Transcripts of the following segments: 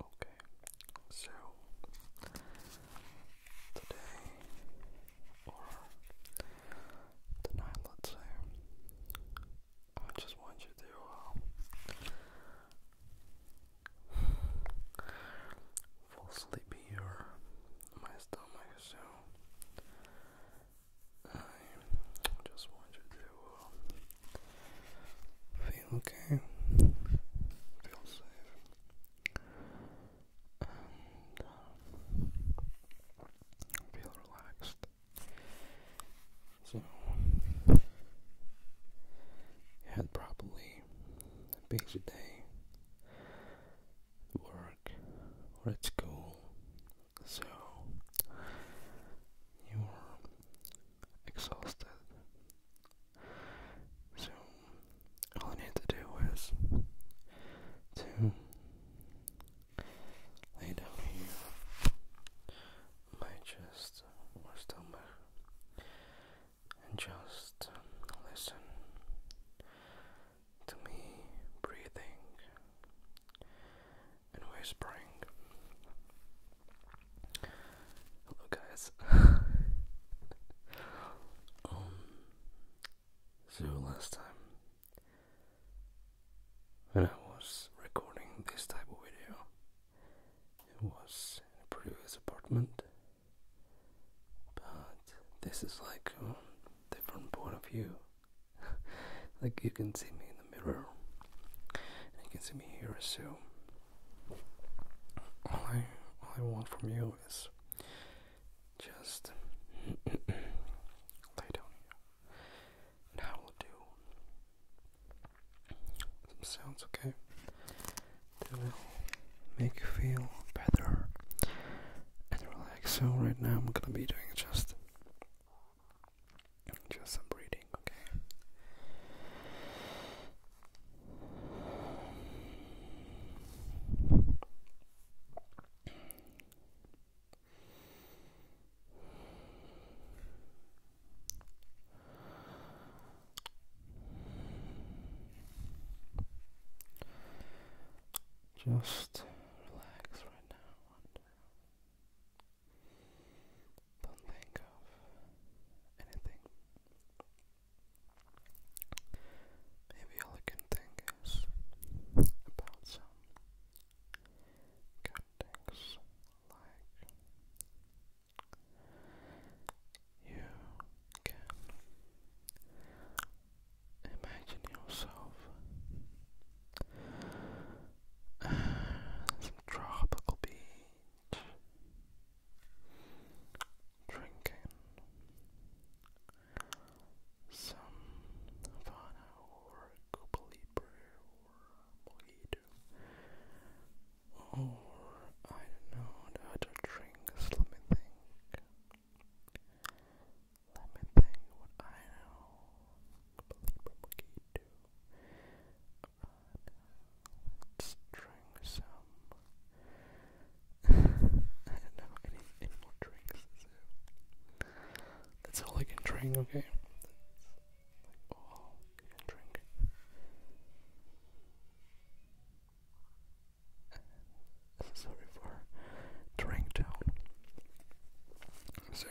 Okay, so today, or tonight, let's say, I just want you to uh, fall sleepy or my stomach, so I just want you to will feel okay, feel safe, and feel relaxed. So, you had probably a busy day at work or at school, so you're exhausted. So, all you need to do is to lay down here, my chest or stomach, and just listen to me breathing and whispering. Hello, guys. Um, so last time when I was recording this type of video, it was in a previous apartment, but this is like a um, different point of view. like you can see me in the mirror. And you can see me here, so all I, all I want from you is just lay down here. And I will do sounds, okay? That will make you feel better and relax. So right now I'm gonna be doing just just some breathing, okay? Just relax right now. Don't think of anything. Maybe all I can think is about some things like you Imagine yourself at some tropical beach, drinking some Havana or Cuba or Mojito, or I don't know the other drinks. Let me think what I know. Completely do. Uh, let's drink some. I don't know any, more drinks, that's all I can drink, okay? all I can drink sorry for drink So,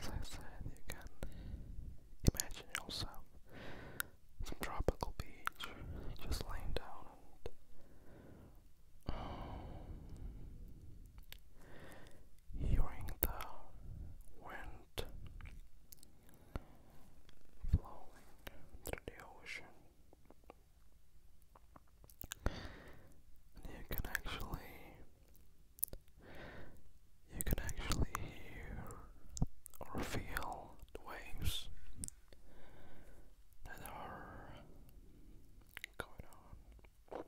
as I said, you can imagine yourself some tropical beach, just laying down and. Um, hearing the wind flowing through the ocean and you can actually you can actually hear or feel waves that are going on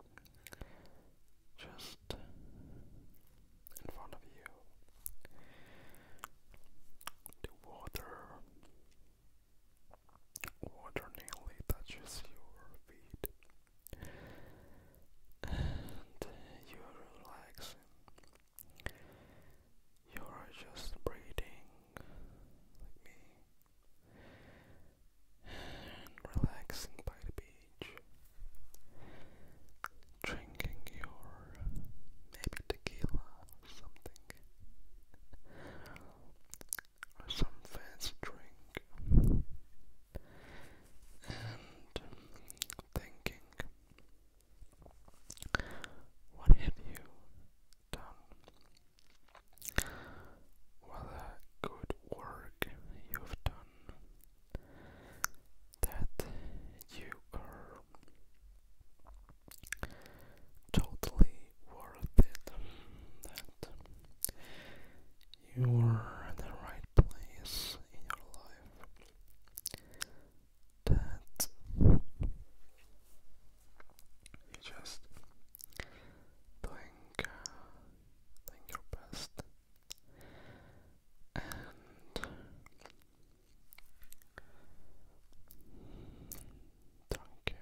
just in front of you. The water water nearly touches your feet and you're You're just breathing like me and relaxing by the beach drinking your maybe tequila something or some fancy drink and thinking what have you done? What good work you've done that you are totally worth it, that you are in the right place in your life, that you just doing, uh, your best. Don't care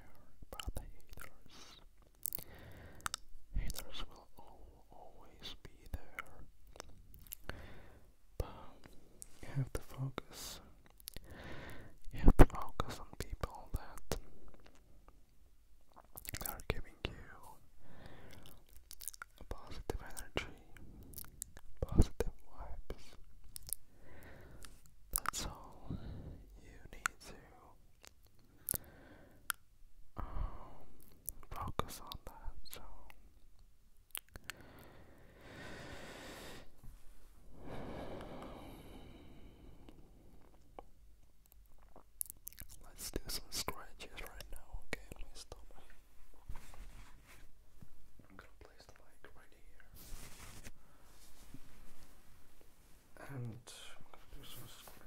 about the haters. Haters will always be there. But you have to focus. You have to focus on people that are giving you positive energy, positive vibes. That's all you need to um, focus on that. So. Let's do some scratches right now, okay? My stomach I'm gonna place the mic right here. And I'm gonna do right here.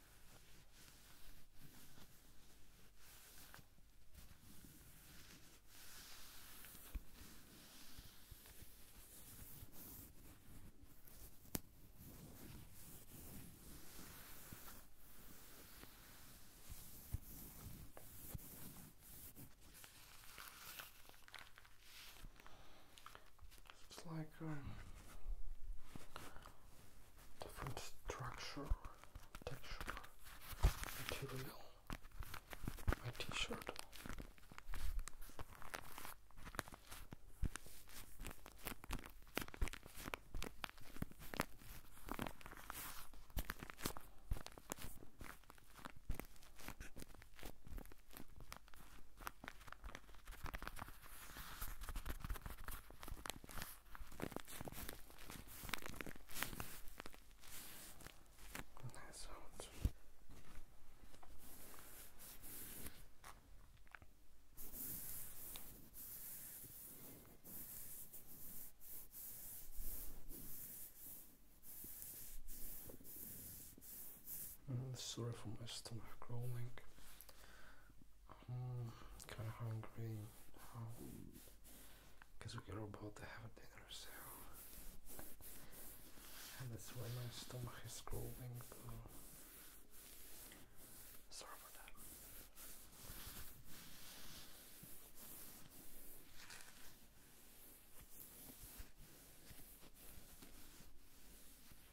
It's like a different structure texture material my t-shirt nice mm, sounds. sorry for my stomach growling. Mm, kind of hungry. Because um, we are about to have a dinner, so. And that's why my stomach is groaning. Sorry for that.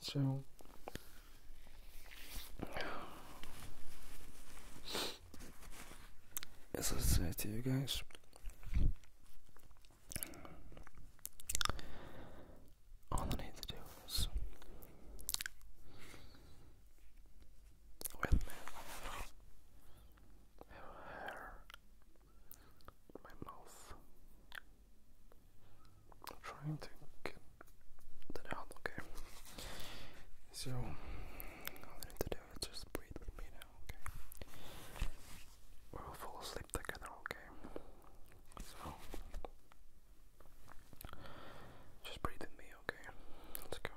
So as I said to you guys, all I need to do is with hair, my mouth, I'm trying to get that out, okay? So, all I need to do is just breathe with me now, okay? We'll fall asleep together, okay? So, just breathe with me, okay? Let's go.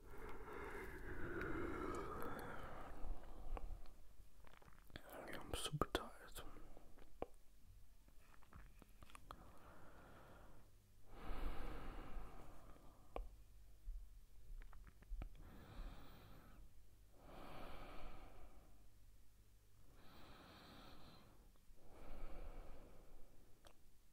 I'm super tired.